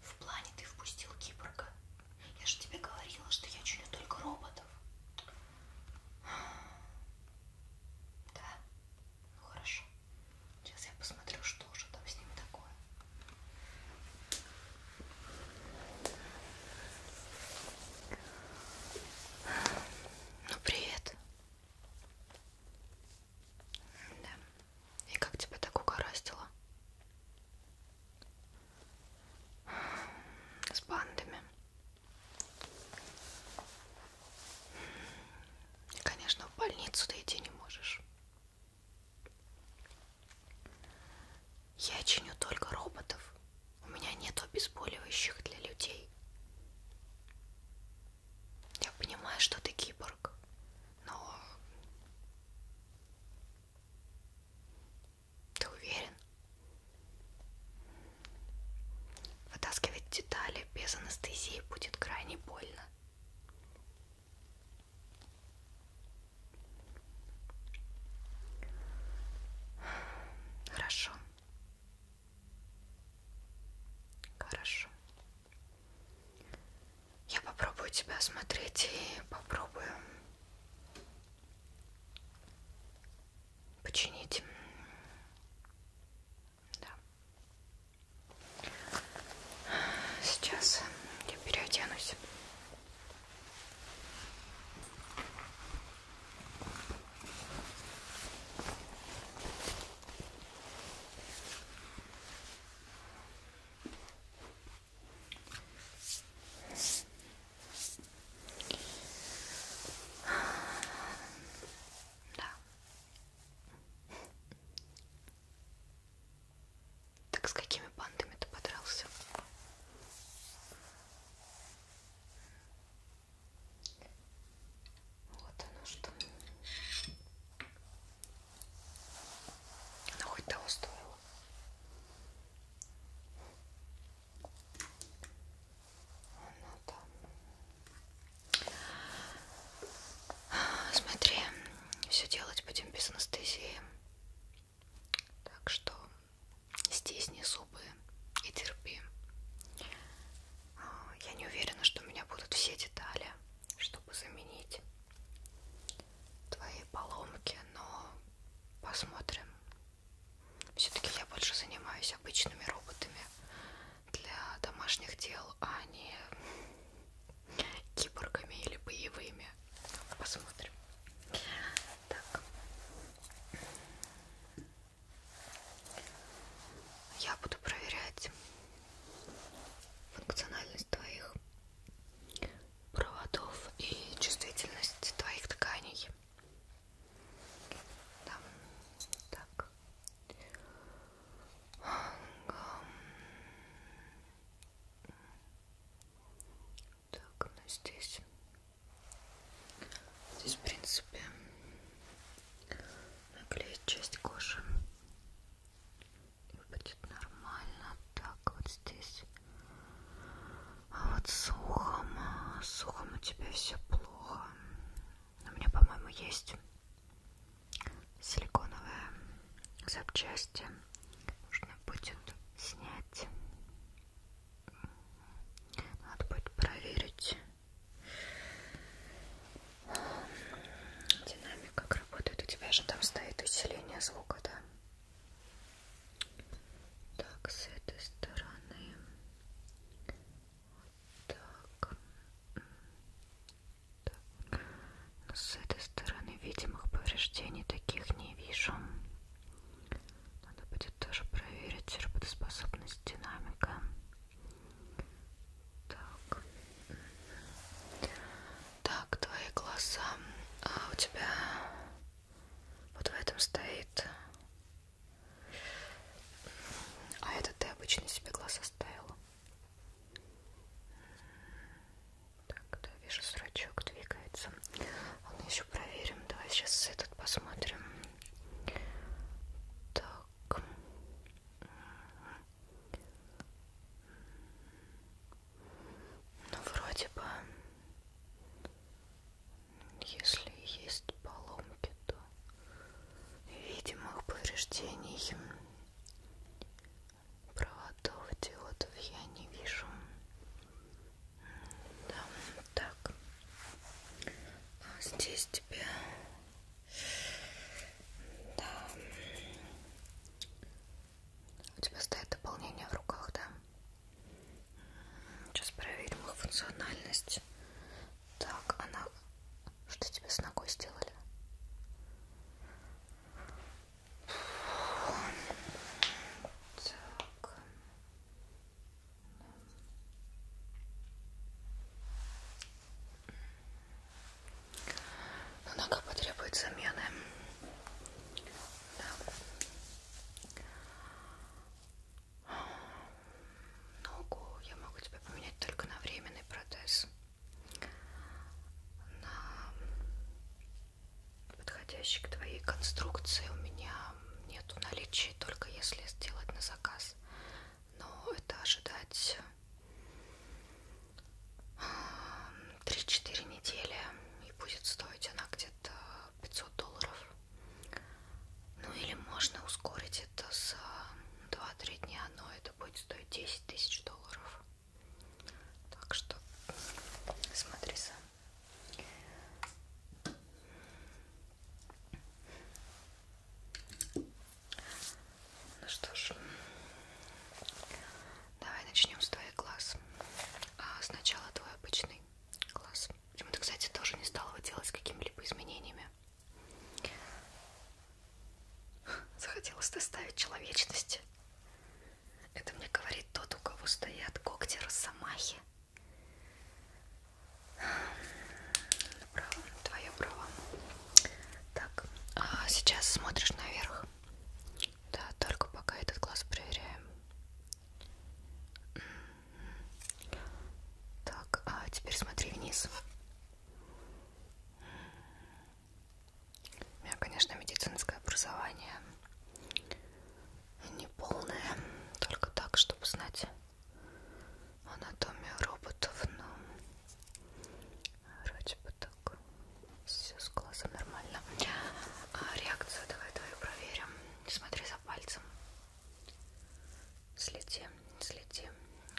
В плане ты впустил киборга. Я же тебе говорила, что я чую только роботов. Да? Ну хорошо. Сейчас я посмотрю, что же там с ним такое. Ну привет. Да. И как тебя так угораздило? С бандами. И, конечно, в больницу ты идти не можешь. Я чиню только роботов. У меня нет обезболивающих для людей. Я понимаю, что ты киборг. Но ты уверен? Вытаскивать детали без анестезии будет крайне больно. Хорошо. Хорошо. Я попробую тебя осмотреть и попробую починить. Да. Сейчас я переоденусь. Да. Так с какими бандами ты подрался? Вот оно что. Она хоть того стоила. Она там. Смотри, все делать будем без анестезии. Так что здесь не зубы и терпи. А, я не уверена, что у меня будут все детали, чтобы заменить твоей поломки, но посмотрим. Все-таки я больше занимаюсь обычными роботами для домашних дел, а не киборгами или боевыми. Ну, посмотрим. Так. Я буду проверять функциональность твоих проводов и чувствительность твоих тканей. Там, так. Так, ну здесь. Здесь, в принципе, наклеить часть кожи будет нормально. Так, вот здесь. А вот с ухом, с ухом у тебя все плохо. У меня, по-моему, есть силиконовые запчасти. Нужно будет снять. Надо будет проверить. Динамик как работает. У тебя же там стоит усиление звука звука, да. Так, с этой стороны. Вот так. так. Но с этой стороны видимых повреждений таких не вижу. Надо будет тоже проверить работоспособность динамика. Так. Так, твои глаза. А у тебя вот в этом стоит. А это ты обычно себе глаза ставила. Так, да, вижу, зрачок двигается. Он еще проверим. Давай сейчас этот посмотрим. Так. Ну, вроде бы, если есть поломки, то видимых повреждений проводов диодов я не вижу. Да, так. А здесь тебе... Да. У тебя стоит дополнение в руках, да? Сейчас проверим их функциональность. Так, она... Что тебе с ногой сделали? Так. Но нога потребует замены. Да. Ногу я могу тебе поменять только на временный протез. На подходящий к твоей конструкции у меня нет в наличии, только если сделать на заказ. Но это ожидать 3-4 недели и будет стоить она где-то 500 долларов. Ну или можно ускорить это за э, 2-3 дня, но это будет стоить 10 тысяч долларов. Так что смотри сам. Ну что ж, Давай начнем с твоих глаз. А сначала твой обычный глаз. Почему-то, кстати, тоже не стала его делать с какими-либо изменениями. Захотелось доставить человечности. Это мне говорит тот, у кого стоят когти росомахи. Право, твое право. Так, а сейчас смотришь наверх. Да, только пока этот глаз проверяем. Так, а теперь смотри вниз. У меня, конечно, медицинское образование не полное, только так, чтобы знать анатомию роботов, но вроде бы так, все с глазом нормально. А, реакцию давай твою проверим. Смотри за пальцем. Следи, следи.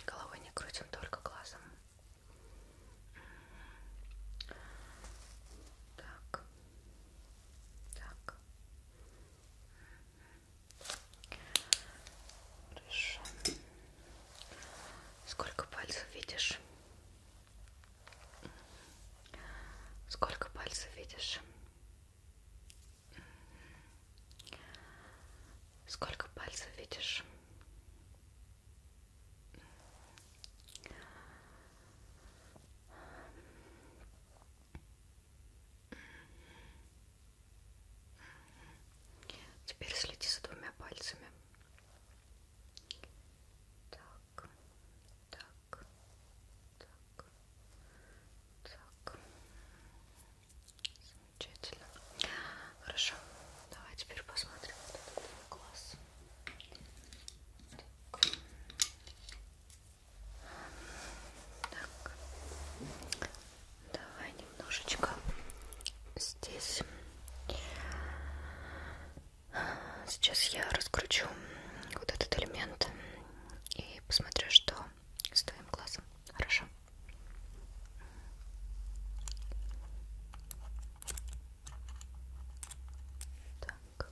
Головой не крутим, только глазом. Так, так. Хорошо. Сколько пальцев видишь? Сколько пальцев видишь? Сколько пальцев видишь? Теперь следи за двумя пальцами. Так так, так, так, так. Замечательно. Хорошо. Давай теперь посмотрим вот этот глаз. Так. так. Давай немножечко здесь. Сейчас я раскручу вот этот элемент и посмотрю, что с твоим глазом. Хорошо? Так. Так. Так.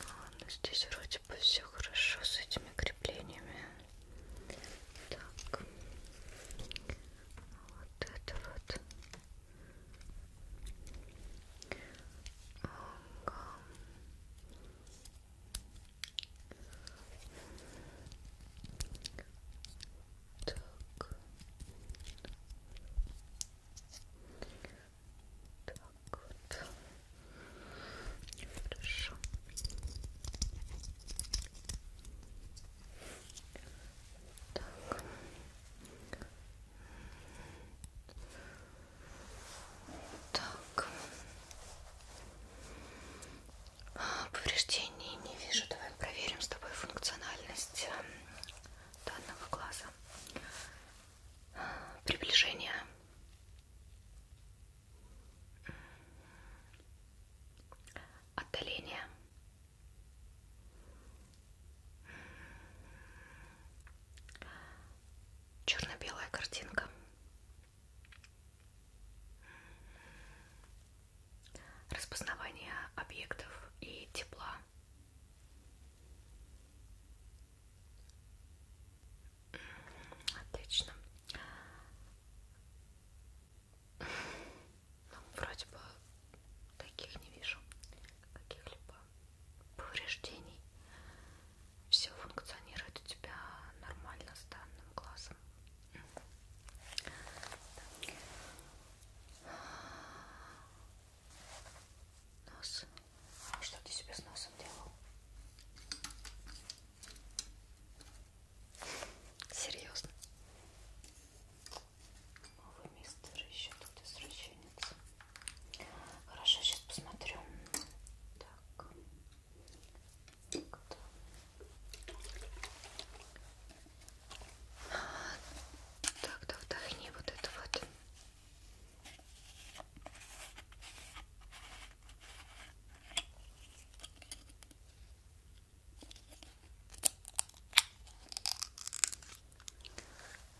Ладно, здесь вроде бы все хорошо с этими креплениями. Так, вот это вот. Ага. Так. Так вот. Хорошо. Так. Так. Повреждений не вижу. Давай проверим с тобой функциональность эм, данного глаза приближение отдаление черно-белая картинка распознавание объектов и тепла Отлично. Ну, вроде бы таких не вижу каких-либо повреждений. Все функционирует у тебя нормально с данным глазом. Нос. А что ты себе с носом делал? Серьезно? Вы, мистер, еще тут извращенец. Хорошо, сейчас посмотрю. Так. Кто? Так, да вдохни вот это вот.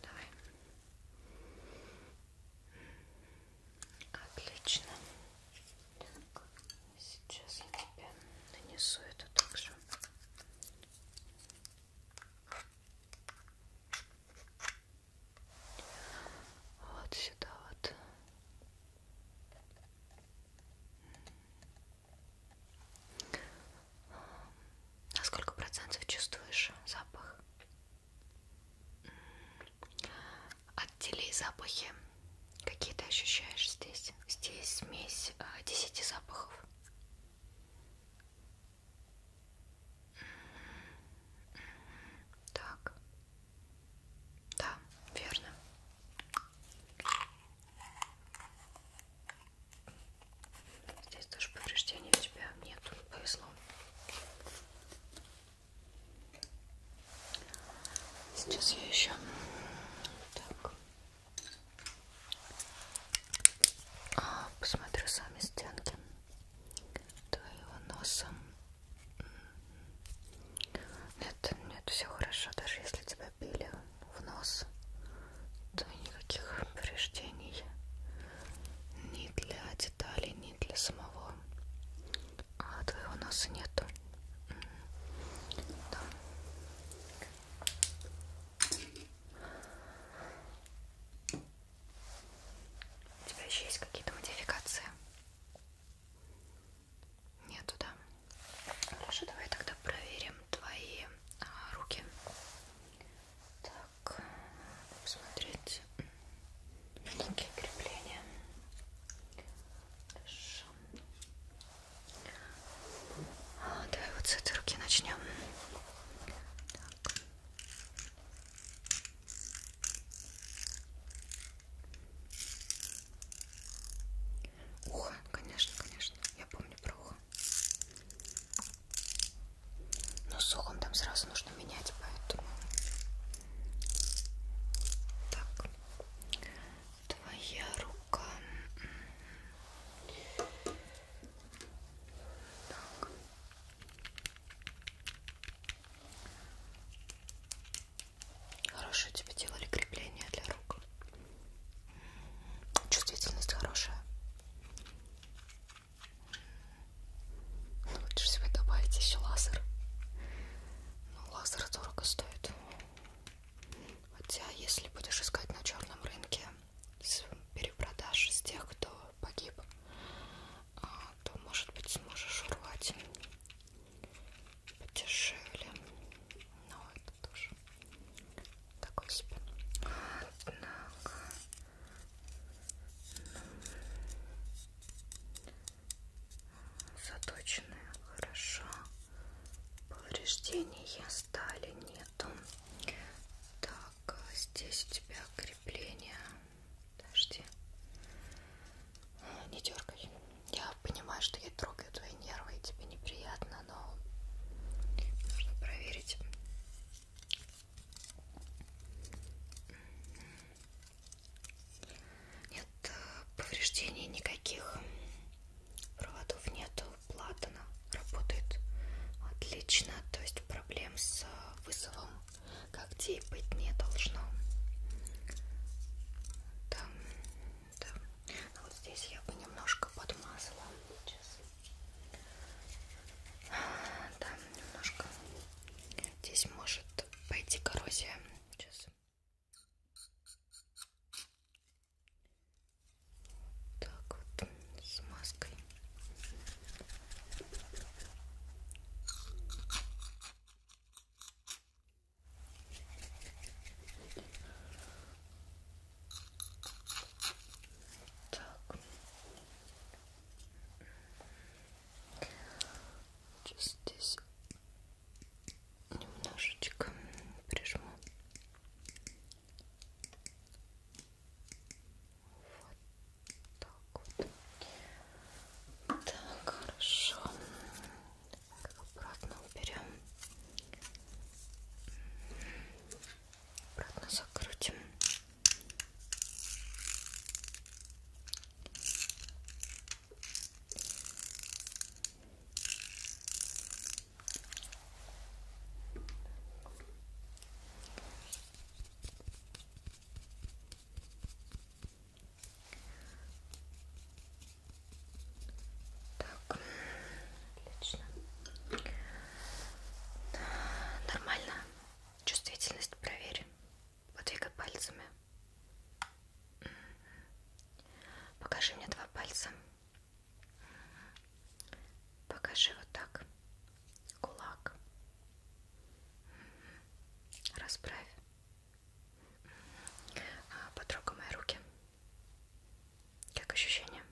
Давай. Отлично. Так, сейчас я тебе нанесу это также. Угу. Вот сюда вот. На сколько процентов чувствуешь запах? Отдели запахи. Какие ты ощущаешь здесь? Здесь смесь а, десяти запахов. Так. Да, верно. Здесь тоже повреждений у тебя нет, повезло. Сейчас я еще так. А, посмотрю сами стенки твоего носа. Нет, нет, все хорошо, даже если тебя били в нос, то никаких повреждений ни для деталей, ни для самого а твоего носа нету. М-м-м. Да. У тебя еще есть какие-то модификации? Нету, да? Хорошо, давай тогда проверим твои а, руки. Так, посмотреть маленькие крепления. Хорошо. А, давай вот с этой руки начнем. Так. Ухо, конечно, конечно. Я помню про ухо. Но с ухом там сразу нужно менять, поэтому... Так. Твоя рука... Так. Хорошо тебе делали крепление для рук. Чувствительность хорошая. Ну, лучше себе добавить еще лазер. Ну, лазер дорого стоит. Хотя, если будешь искать на черном рынке с перепродаж с тех, кто погиб а то, может быть, сможешь урвать подешевле. Но ну, это тоже такой себе. Однако... Заточенные хорошо. Повреждения стали нету. Так, а здесь у тебя крепление Подожди. Не дергай. Я понимаю, что я трогаю твои нервы и тебе неприятно, но нужно проверить. Нет э, повреждений никаких. Проводов нету. Платана работает отлично. То есть проблем с э, вызовом когтей быть не должно. Да, да. Ну, вот здесь я бы немножко подмазала. Сейчас. Да, немножко. Здесь может пойти коррозия. Сейчас. Так вот, с маской. Так. Здесь немножечко прижму. Вот так вот. Так, хорошо. Так, обратно уберем. Обратно закрутим. Так, отлично. Нормально. Чувствительность проверим. Подвигай пальцами. Покажи мне два пальца. Покажи вот так. Кулак. Расправь. А, потрогай мои руки. Как ощущение?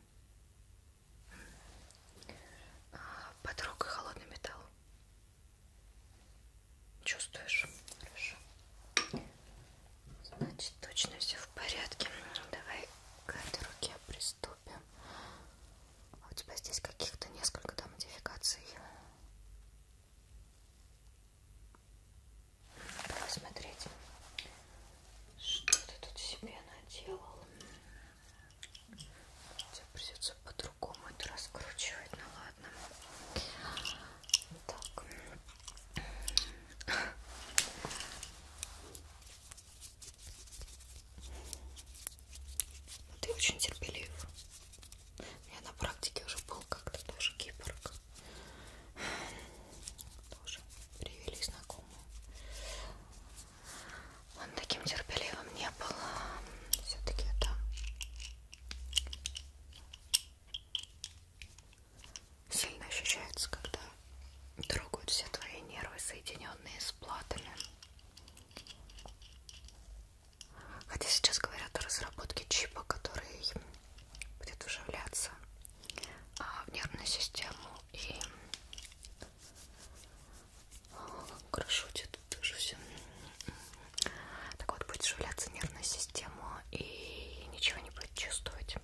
А, потрогай холодный металл. Чувствуешь? Хорошо. Значит, точно все в порядке. Давай к этой руке приступим. А у тебя здесь каких-то несколько да, модификаций. Посмотреть, что ты тут себе наделал. Тебе придется по-другому это раскручивать, ну ладно. Так. Но ты очень терпелив. У меня на практике уже был как-то тоже киборг. Тоже привели знакомые. Он таким терпеливым не был. Все-таки это сильно ощущается, когда трогают все твои нервы, соединенные с платами. Хотя сейчас говорят о разработке чипа, который будет вживляться а, в нервную систему и крышутит тоже все. Так вот, будет вживляться нервная система и ничего не будет чувствовать.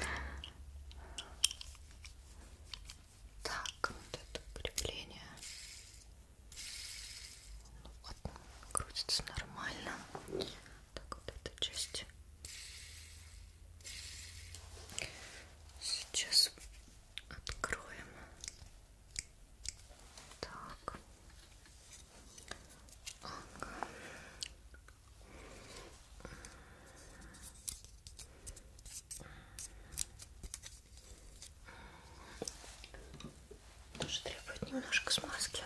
Да. Так, вот это крепление. Ну, вот, крутится нормально. Так, вот эта часть. Сейчас откроем. Так. Ага. Тоже требует немножко смазки.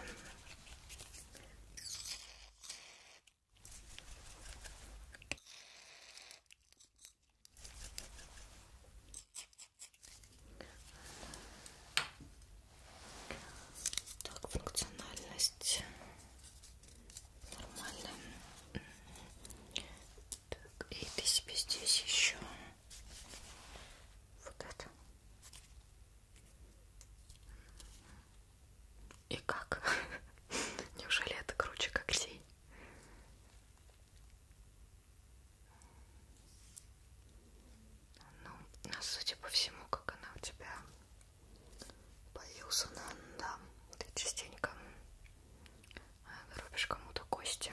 Так, функциональность нормально. Так, и ты себе здесь еще вот это. И как? Неужели это круче как сей? Ну, а судя по всему, как она у тебя поюзана, да, ты частенько рубишь кому-то кости.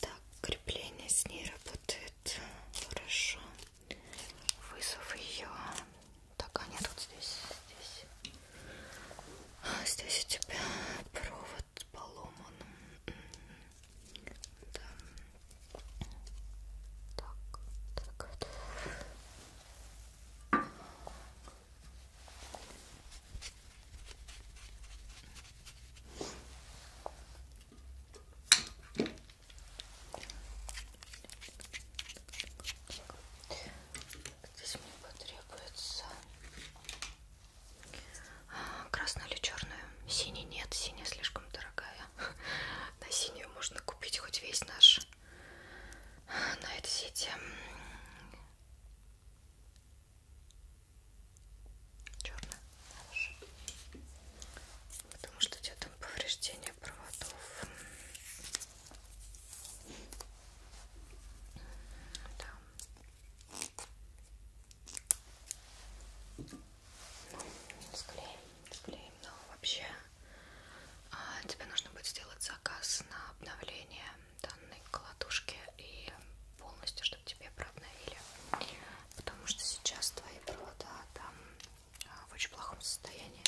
Так, крепление с ней работает хорошо. Вызов ее. Так, а нет, вот здесь, здесь. А здесь у тебя провод поломан. Да. Так, так. Здесь мне потребуется а, красную или черную. Синий нет, синяя слишком дорогая. На синюю можно купить хоть весь наш на этой сети черная, хорошо. Потому что у тебя там повреждение проводов. Да. Ну, склеим, склеим. Но вообще а, тебе нужно будет сделать заказ на обновление данной колотушки и полностью, чтобы тебе прообновили. Потому что сейчас твои провода там а, в очень плохом состоянии.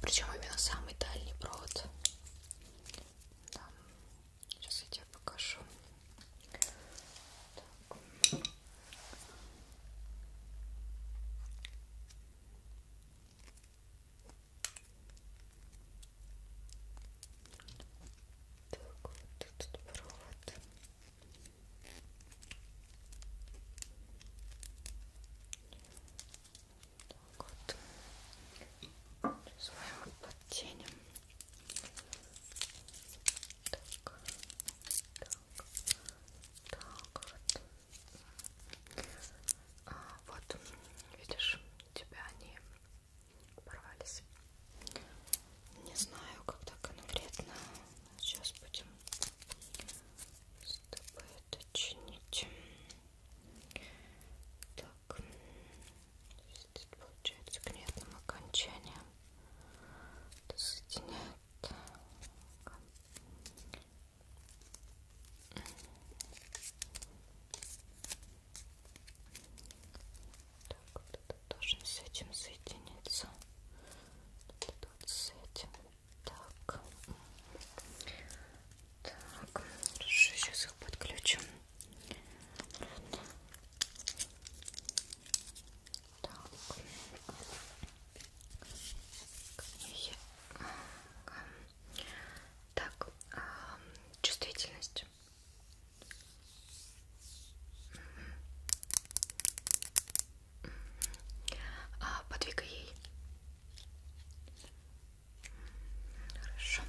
Причем именно самый дальний провод. Там. Сейчас я тебе покажу. Так. Так, вот этот провод. Так вот. Сейчас мы его подтянем. Так, так, так вот. А, вот, видишь, у тебя они порвались. Не знаю, когда конкретно. Сейчас будем с тобой это чинить. Так, здесь получается к нетным окончаниям. Это соединяет так, вот это должен с этим соединиться. Вот это вот с этим. Так. Так, хорошо, сейчас их подключим. Так. Книги. Так, а, чувствительность. А, подвигай ей. Хорошо.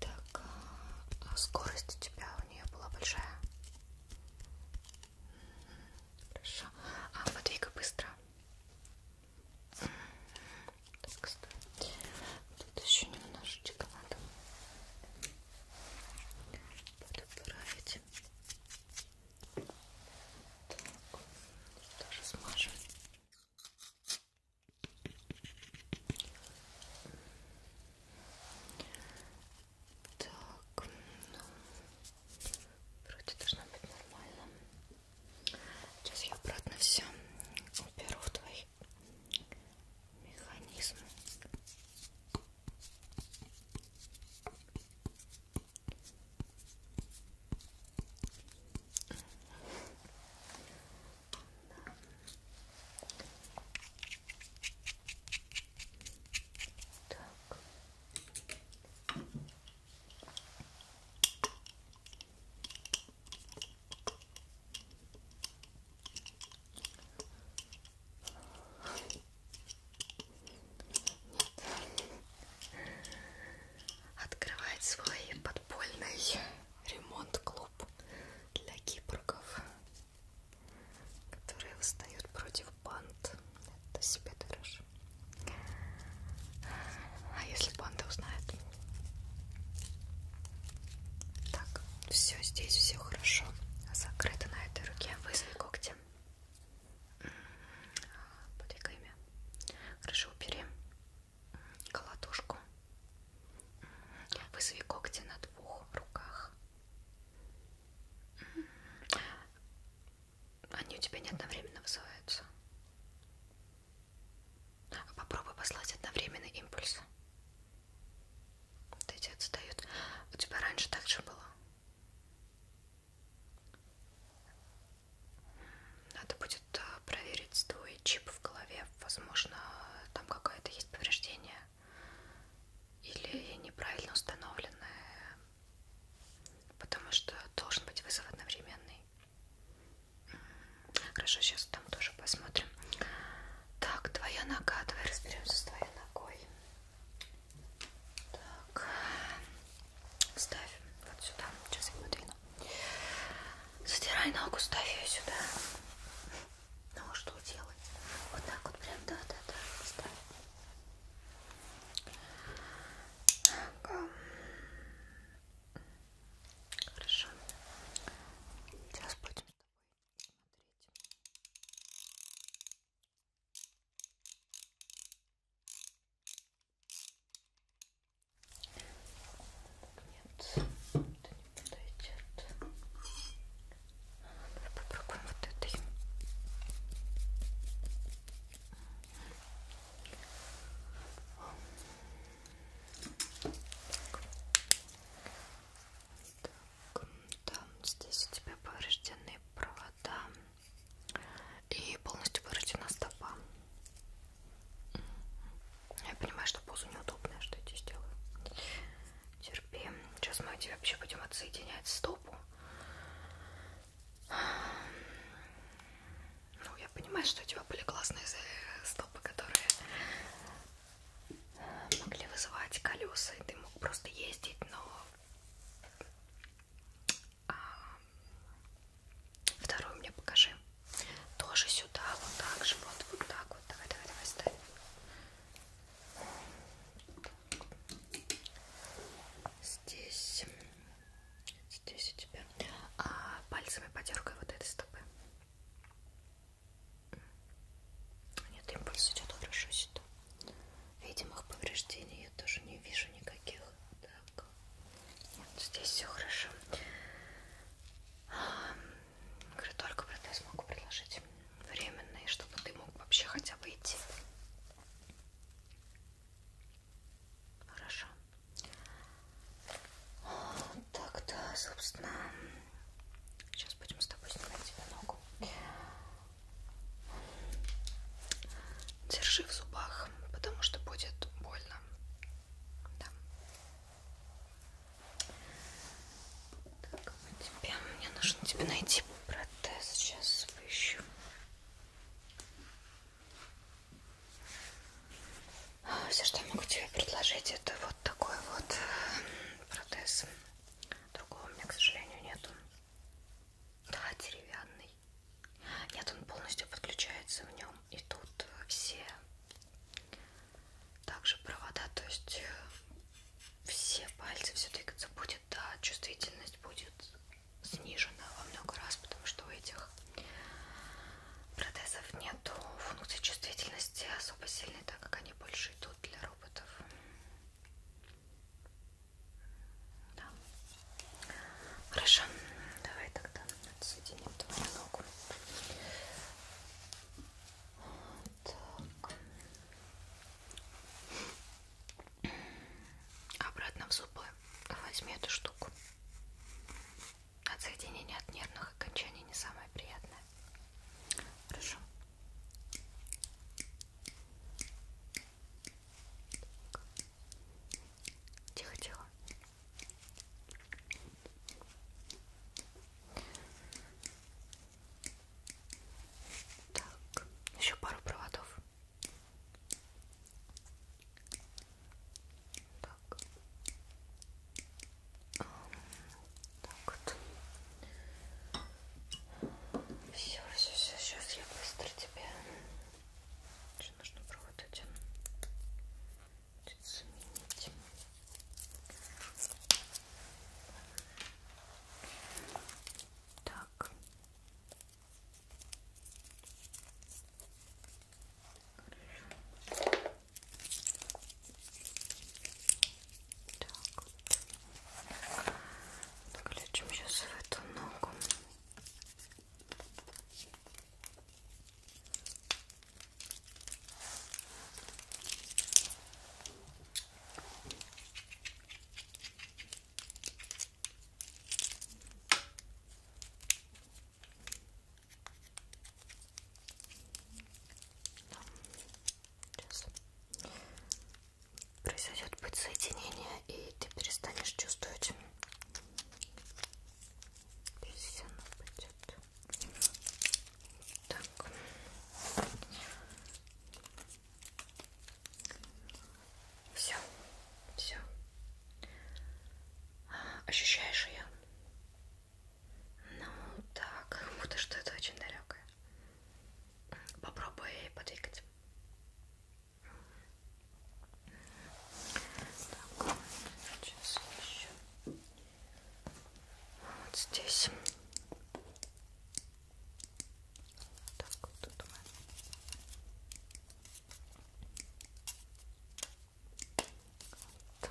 Так, а, скорость у тебя у нее была большая. Хорошо. А подвигай быстро. Так, стой. Тут еще немножечко надо подправить. Так, тоже смажем. Так, ну, вроде должно быть нормально. Сейчас я обратно все уберу в твой механизм. Да. Так. Открывает свой подпольный ремонт-клуб для киборгов, которые восстают против банд. Это себе дороже. А если банда узнает? Так, все здесь, все хорошо. Закрыто на этой руке. Вызови когти. Подвигай ими. Хорошо, убери колотушку. Вызови когти на двух руках. Они у тебя не одновременно вызываются. А попробуй послать одновременный импульс. Вот эти отстают. У тебя раньше так же было? Надо будет э, проверить твой чип в голове. Возможно, там какое-то есть повреждение. Или неправильно установленное. Потому что должен быть вызов одновременный. Хорошо, сейчас там тоже посмотрим. Так, твоя нога, давай разберемся с твоей ногой. Так, ставь вот сюда. Сейчас я подвину. Задирай ногу, ставь ее сюда. Ну а что делать? Вот так вот прям, да, да, да, ставь. Так. Хорошо. Сейчас будем с тобой смотреть. Нет, это не подойдет. Давай попробуем вот этой. Так, там здесь у тебя повреждены провода и полностью повреждена стопа. Я понимаю, что позу неудобная, что я тебе сделаю. Терпи. Сейчас мы у тебя вообще будем отсоединять стопу ну, я понимаю, что у тебя были классные стопы, которые могли вызывать колеса, и ты мог просто ездить, но а, вторую мне покажи. Тоже сюда, вот так же, вот, вот так вот. Давай, давай, давай, ставь. Здесь Здесь у тебя а, пальцами подергай вот этой стопы. Нет, импульс идет хорошо сюда. Видимых повреждений я тоже не вижу никаких. Так. Нет, здесь все хорошо. А, говорю, только протез могу предложить временный, чтобы ты мог вообще хотя бы идти. Хорошо. Так, да, собственно, сейчас будем с тобой снимать тебе ногу. Держи в зубах, потому что будет больно. Да. Так, мы тебе, мне нужно тебе найти протез. Сейчас поищу. Все, что я могу тебе предложить, это вот такой вот э, протез. Другого у меня, к сожалению, нету. Да, деревянный. Нет, он полностью подключается в нем. И тут все также провода, то есть э, все пальцы, все двигаться будет, да, чувствительность будет снижена во много раз, потому что у этих Протезов нету функции чувствительности особо сильной, так как они больше идут для роботов. Да. Хорошо, давай тогда отсоединим твою ногу. Так. Обратно в зубы возьми эту штуку. От соединения от нервных окончаний не самое приятное. Хорошо. Тихо-тихо. Так, еще пару проводов. Так. Так вот. Все, все, все, сейчас я быстро тебе. Что нужно провод один заменить. Так. Хорошо. Так вот. Заключим сейчас в эту ногу. Так, Сейчас. Произойдет подсоединение, и ты перестанешь чувствовать. Здесь оно будет. Так. Все, все. Ощущаешь ее? Ну так, как будто что-то очень далекое. Попробуй подвигать. Так, сейчас еще. Вот здесь. Так, вот тут мы. Так. Так.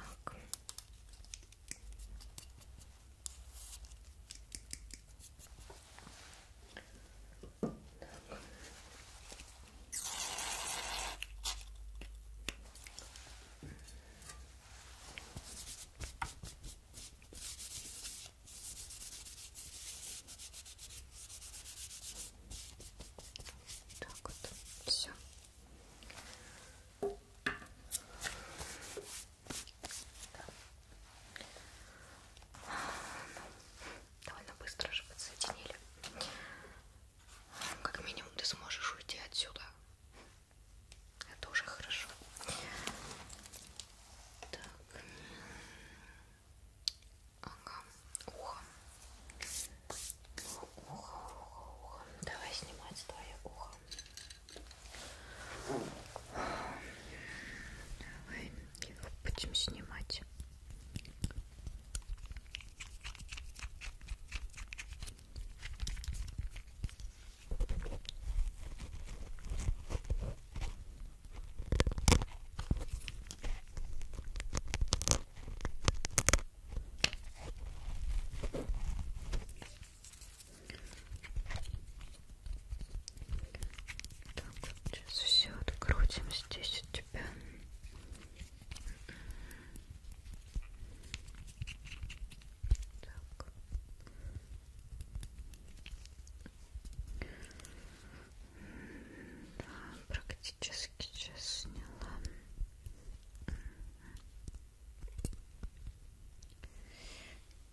Так вот, все. Довольно быстро же подсоединили. Как минимум ты сможешь уйти отсюда. Это уже хорошо. Так. Ага ухо. Ухо, ухо, ухо. Давай снимать твое ухо. Давай его будем снимать. Давай так, сейчас все открутим здесь у тебя. Так. Да, практически практически час сняла.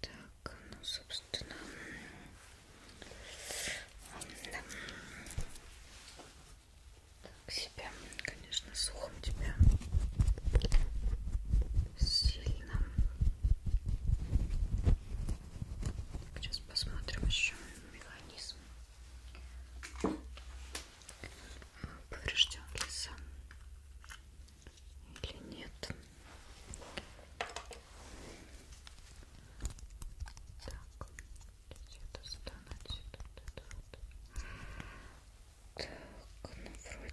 Так, ну, собственно, да. так себя, конечно, сухом тебя сильно. Сейчас посмотрим еще механизм поврежден ли сам или нет. Так, где-то стануть. Так, ну вроде бы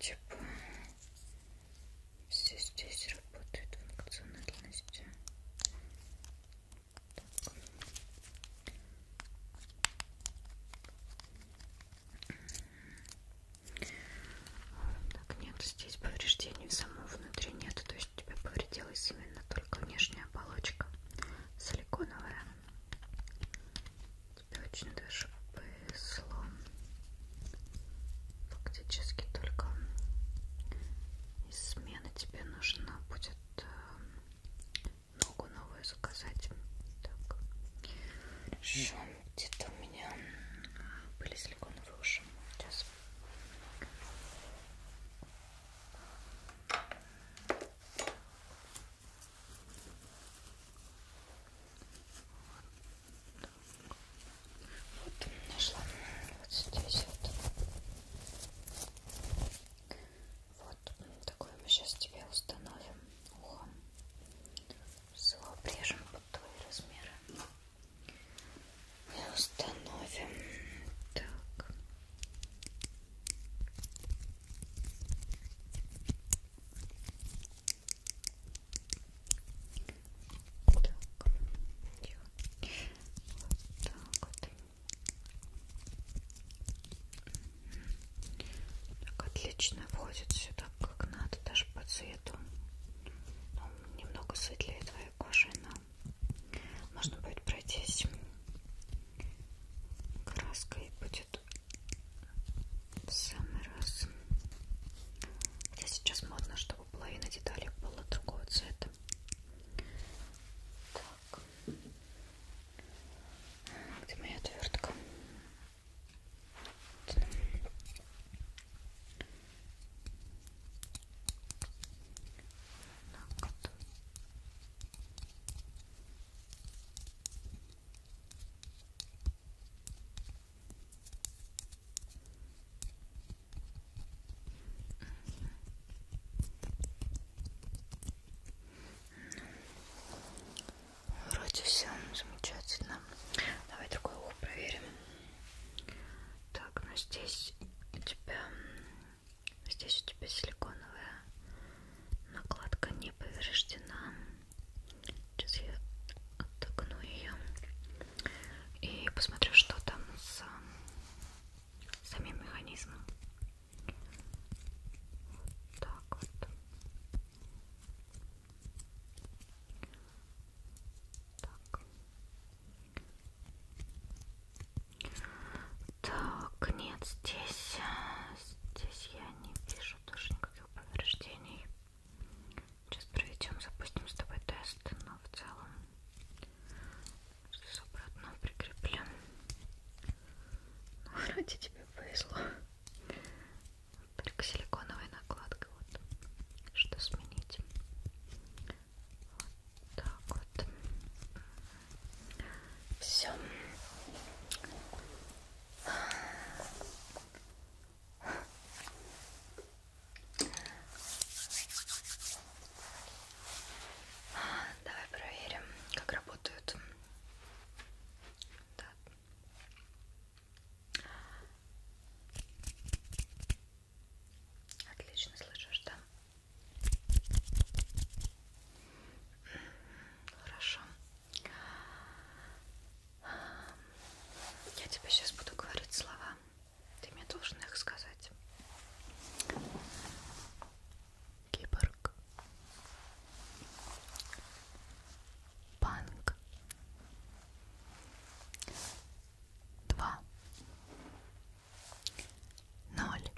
все здесь работает функциональности. Так, нет, здесь повреждений самого внутри нет, то есть тебе повредилась именно только внешняя оболочка силиконовая. Тебе очень даже повезло. Фактически только из смены тебе нужна будет э, ногу новую заказать. Так. Хорошо. Где-то у меня были силиконовые уши. Сейчас. Вот нашла вот здесь вот. Вот ну, такое мы сейчас тебе установим ухом. Все, обрежем под твои размеры. И установим. Так. Так. Вот так вот. Так отлично входит сюда как надо, даже по цвету. Ну, немного светлее твоей кожи, но можно будет пройтись краской будет в самый раз. Хотя сейчас модно, чтобы половина деталей была другого цвета. Так. Где моя отвертка? Так вот. Ну, вроде все замечательно. Давай другое ухо проверим. Так, ну здесь у тебя здесь у тебя силиконовая накладка не повреждена. Сейчас я отогну ее и посмотрю, что там с самим механизмом. Вот так вот. Так. Так, нет, здесь, э, здесь я не вижу тоже никаких повреждений. Сейчас проведем, запустим с тобой тест, но в целом здесь обратно прикреплен. Ну, вроде тебе повезло. Только силиконовая накладка. Вот. Что сменить? Вот так вот. Все. Давай проверим, как работают да. Отлично слышишь, да? Хорошо. Я тебе сейчас буду говорить слова. Ты мне должен их сказать киборг, банк, два, ноль,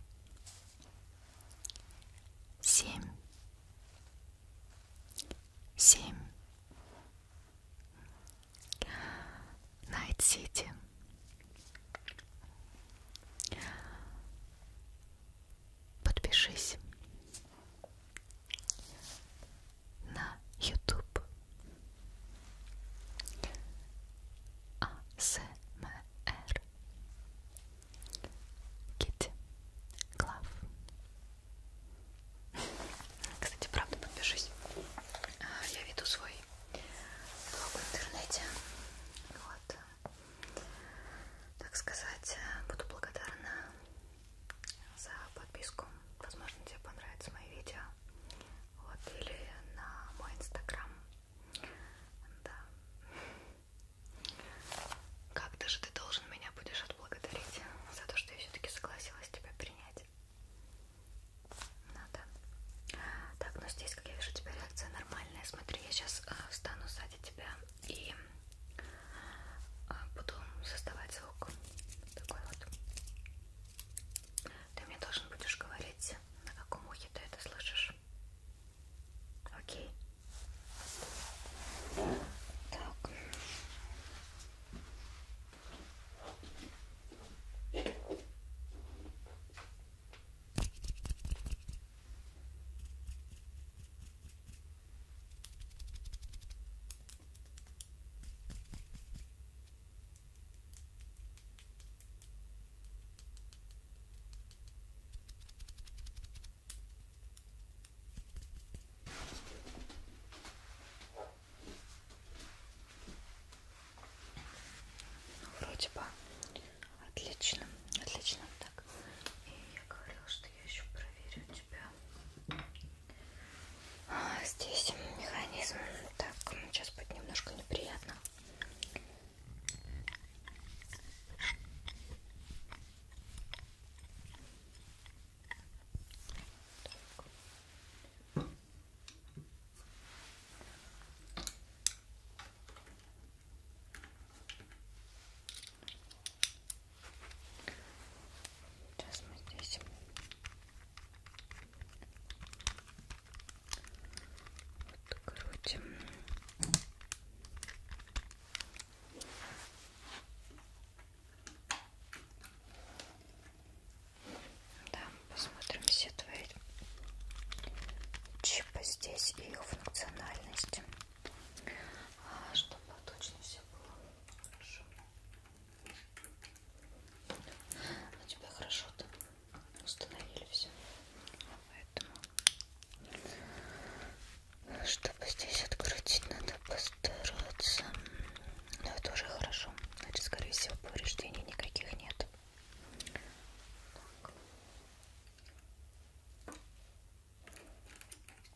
семь, семь, Найт-Сити подпишись на YouTube АСМР Китти Клав. Кстати, правда, подпишись. А, я веду свой блог в интернете. Вот так сказать, э, буду благодарна за подписку. Возможно, тебе понравятся мои видео. Вот, или на мой инстаграм. Да. Как даже ты должен меня будешь отблагодарить за то, что я все-таки согласилась тебя принять. Надо. Так, но ну здесь, как я вижу, у тебя реакция нормальная. Смотри, я сейчас э, встану сзади тебя и а, буду создавать звук такой вот. Ты мне должен будешь говорить, на каком ухе ты это слышишь. Окей. Так. Вроде бы отлично, отлично так. И я говорила, что я еще проверю тебя. А, здесь механизм. Так, сейчас будет немножко неприятно. Так. Сейчас мы здесь вот крутим. Да, посмотрим все твои чипы здесь и их функциональности. А, чтобы точно все было хорошо. У ну, тебя хорошо там установили все. Поэтому, чтобы здесь открутить, надо постараться. Но ну, это уже хорошо. Значит, скорее всего, повреждений никаких нет. Так.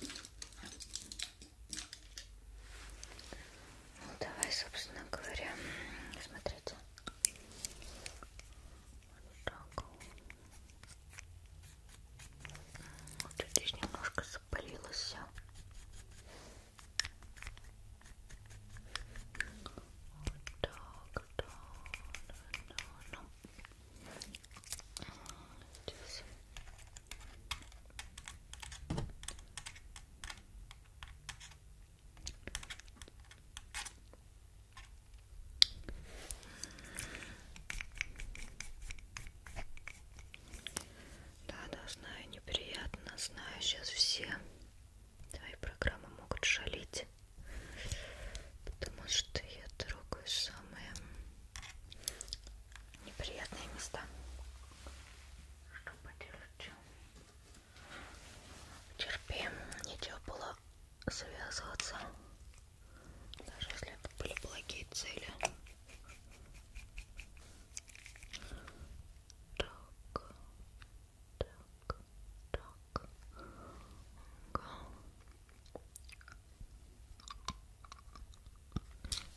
Ну, давай, собственно говоря, смотрите. Вот так. Вот здесь немножко запалилось все. Вот так, да, да, да, да. Здесь. Да, да, знаю, неприятно, знаю, сейчас все твои программы могут шалить, потому что я трогаю самые неприятные места что подержу терпим нечего было связываться даже если это были благие цели так так так Ага.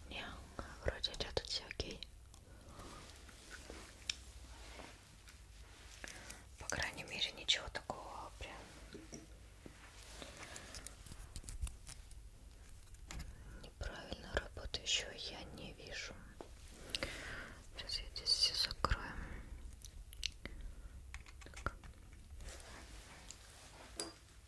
Не, вроде идет все окей. По крайней мере, ничего такого прям неправильно работающего я не вижу. Сейчас я здесь все закрою. Так.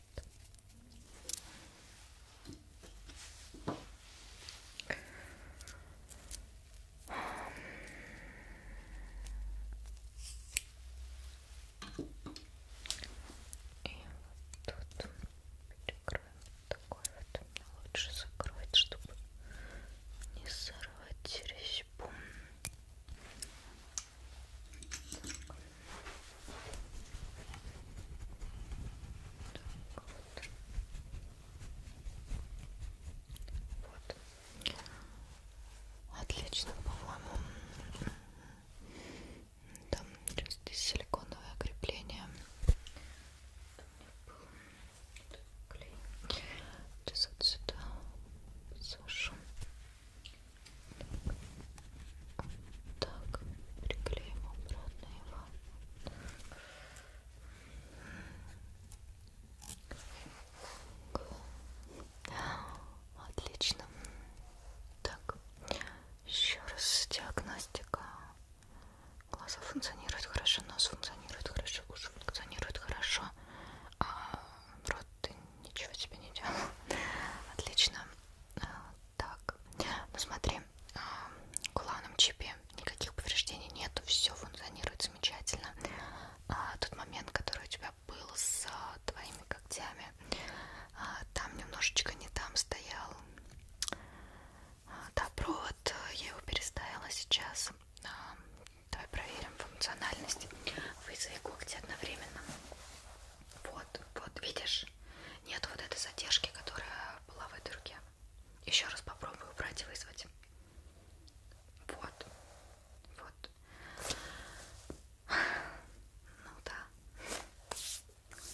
вот перекроем такой вот лучше закрыть, чтобы не сорвать резьбу. Так вот. Вот. Отлично, по-моему. Там сейчас здесь силиконовое крепление. Клей. Сейчас отсюда сошу. Так, приклеим обратно его. Отлично. Так, еще раз диагностика. Глаза функционируют хорошо, нос функционирует хорошо, уши функционируют хорошо, а рот ты ничего тебе не делал. Отлично. Так, ну смотри, куланом а, чипе никаких повреждений нету, все функционирует замечательно. А тот момент, который у тебя был с твоими когтями, а, там немножечко не там стоял. А, да, провод, э, я его переставила сейчас. Давай проверим функциональность. Вызови когти одновременно. Вот, вот, видишь? Нет вот этой задержки, которая была в этой руке. Еще раз попробую убрать и вызвать. Вот. Вот. Ну да. Не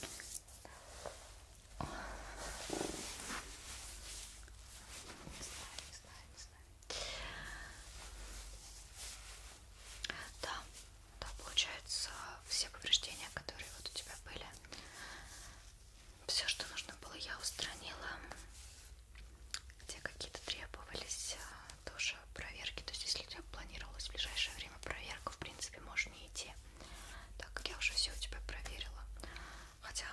знаю, не знаю, не знаю. Да, да, получается, все повреждения, которые вот у тебя были, все, что нужно было, я устранила. Где какие-то требовались а, тоже проверки. То есть, если у тебя планировалось в ближайшее время проверка, в принципе, можно не идти. Так как я уже все у тебя проверила. Хотя,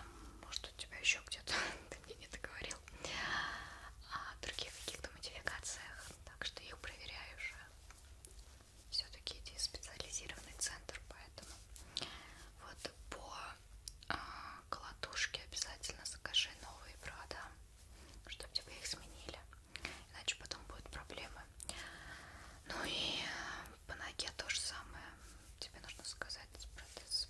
может, у тебя еще где-то ты мне не договорил. О а, других каких-то модификациях. Так что их проверяю уже все-таки иди в специализированный центр, поэтому вот по э, колотушке обязательно закажи новые провода, чтобы тебе их сменили, иначе потом будут проблемы. Ну и по ноге то же самое, тебе нужно заказать протез.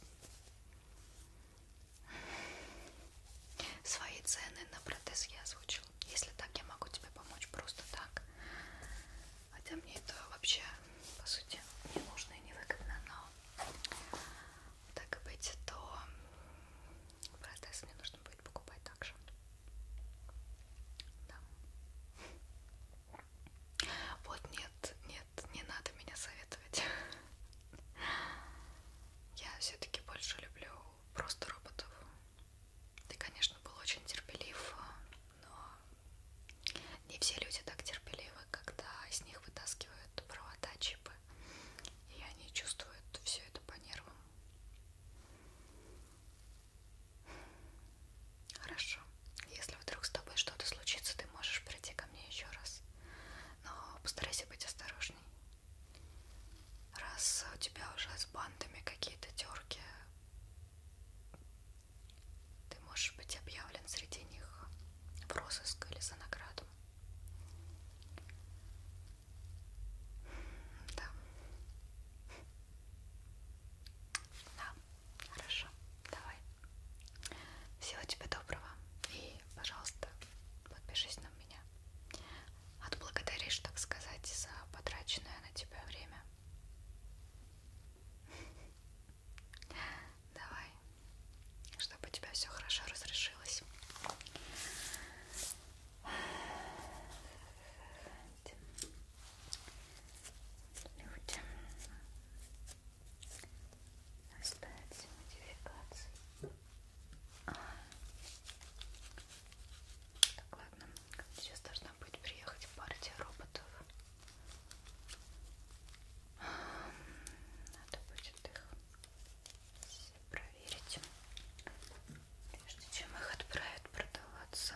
Свои цены на протез я озвучила. Если так, я могу тебе помочь просто так. Хотя мне это вообще, по сути, не нужно и не выгодно, но так и быть, то протез мне нужно будет покупать также. Да. Вот нет, нет, не надо меня советовать. Я все-таки больше люблю просто роботов. Ты, конечно, был очень терпелив но не все люди так терпеливы, когда из них вытаскивают провода, чипы, и они чувствуют все это по нервам. Хорошо. Если вдруг с тобой что-то случится, ты можешь прийти ко мне еще раз. Но постарайся быть осторожней. Раз у тебя уже с бандами какие-то терки, ты можешь быть объявлен среди них в розыск или за награду. Да. Да, хорошо. Давай. Всего тебе доброго. И, пожалуйста, подпишись на меня. Отблагодаришь, так сказать, за потраченное на тебя время. Давай, чтобы у тебя все хорошо разрешилось. Люди. Остается модификация. А. Так, ладно. Сейчас должна быть приехать партия роботов. Надо будет их все проверить, прежде чем их отправят продаваться.